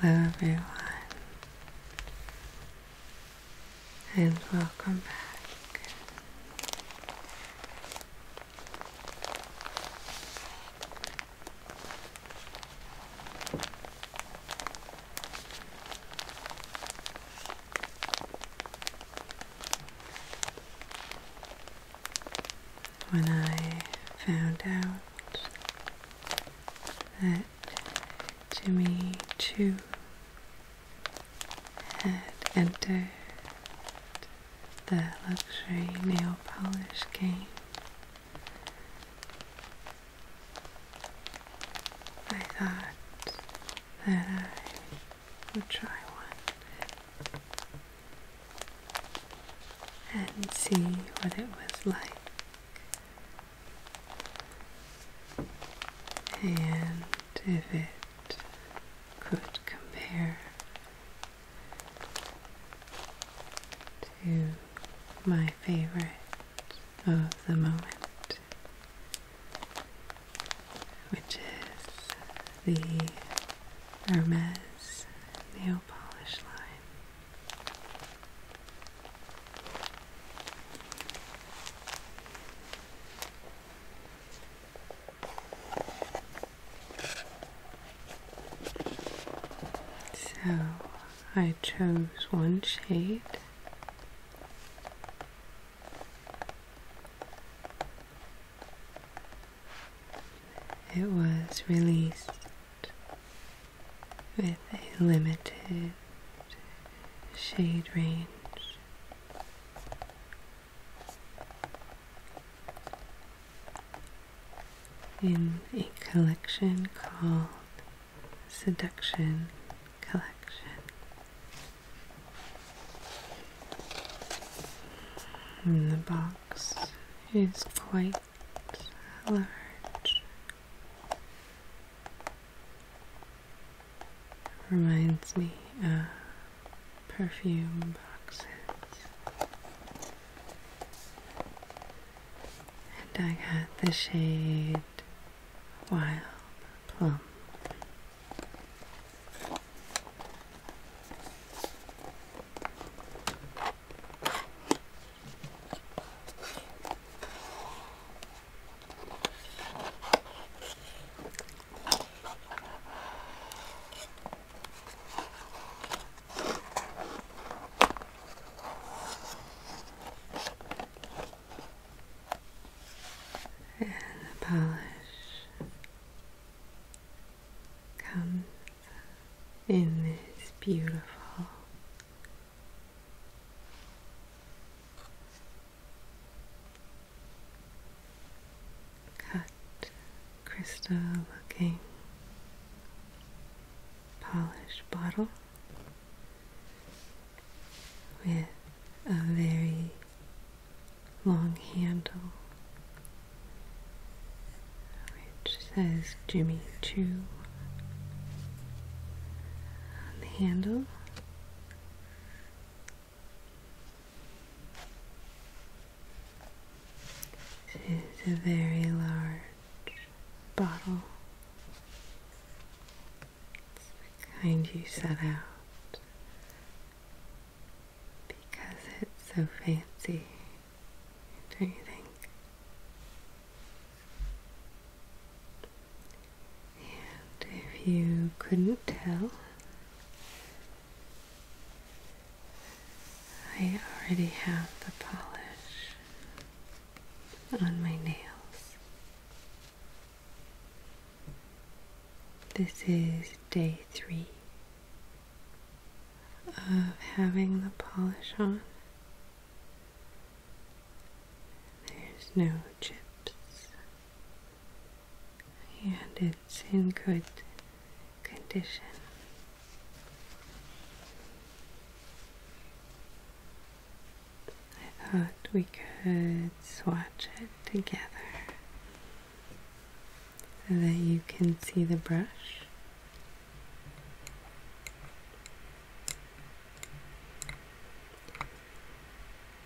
Hello everyone and welcome back. When I found out that Jimmy Choo had entered the luxury nail polish came. I thought that I would try one and see what it was like. And if it could compare to my favorite of the moment, which is the Hermes nail polish line. So I chose one shade. It was released with a limited shade range in a collection called Seduction Collection. And the box is quite large. Reminds me of perfume boxes. And I got the shade Wild Plum. And the polish comes in this beautiful cut crystal looking polished bottle with a very long handle which says Jimmy Choo on the handle it is a very large bottle. It's the kind you set out because it's so fancy, don't you think? And if you couldn't tell, I already have the polish on my nails. This is day three of having the polish on. There's no chips and it's in good condition. I thought we could swatch it together so that you can see the brush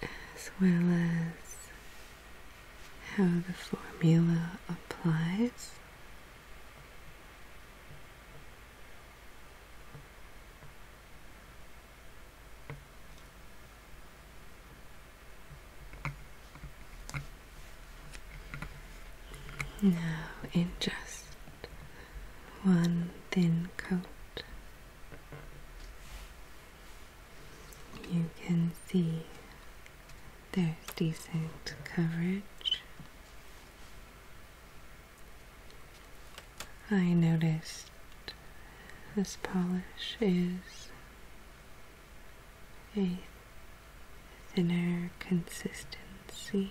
as well as how the formula applies. Now, in just one thin coat you can see there's decent coverage. I noticed this polish is a thinner consistency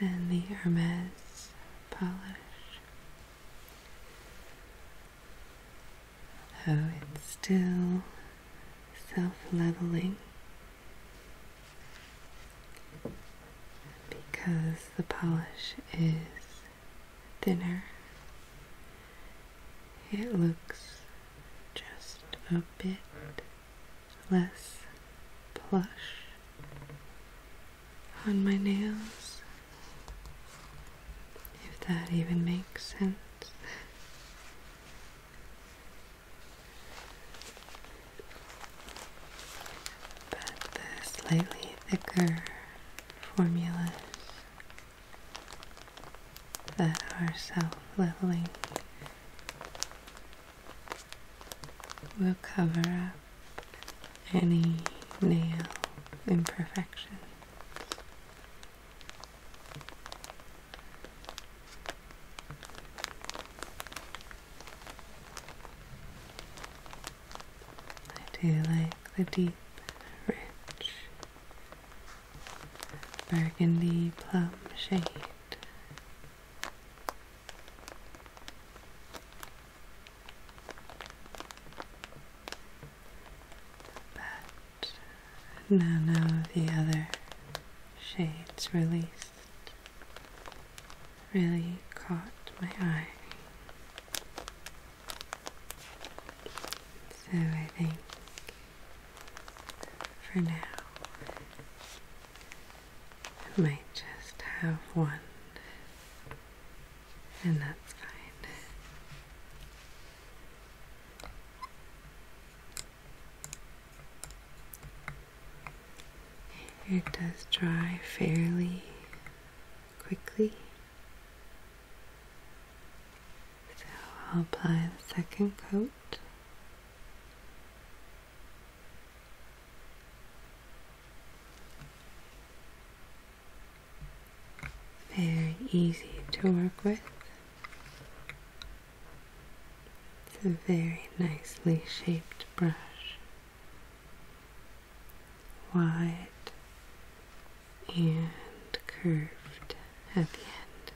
and the Hermes polish. Though it's still self leveling because the polish is thinner, it looks just a bit less plush on my nails, if that even makes sense. But the slightly thicker formulas that are self leveling will cover up any nail imperfections. I do like the deep, rich burgundy plum shade but none of the other shades released really caught my eye. So I think for now I might just have one, and that's fine. It does dry fairly quickly. So I'll apply the second coat very easy to work with. It's a very nicely shaped brush. Wide and curved at the end.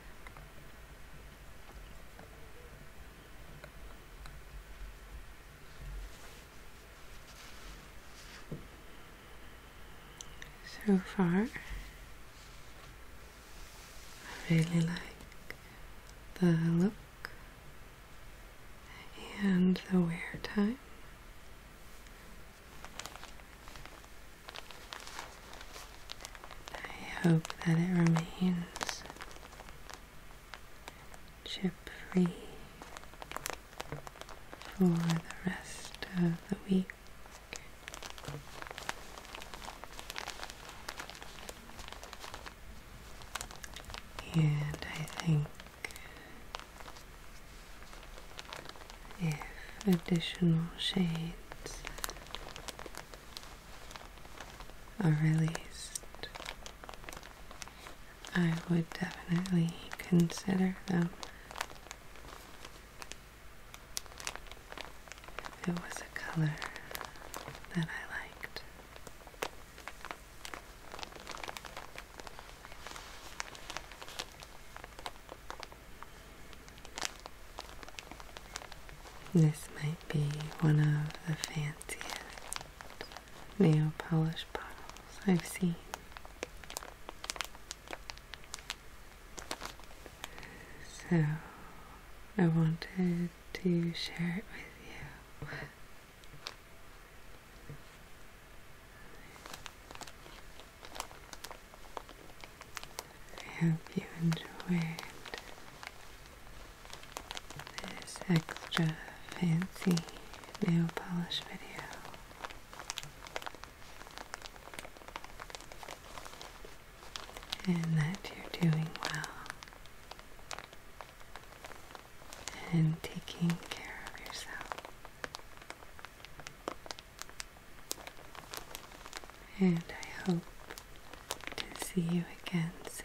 So far, I really like the look and the wear time. I hope that it remains chip free for the rest of the week. And I think if additional shades are released, I would definitely consider them. If it was a color that I liked. This might be one of the fanciest nail polish bottles I've seen. So I wanted to share it with you. I hope you enjoyed this extra fancy nail polish video. And that you're doing well and taking care of yourself. And I hope to see you again soon.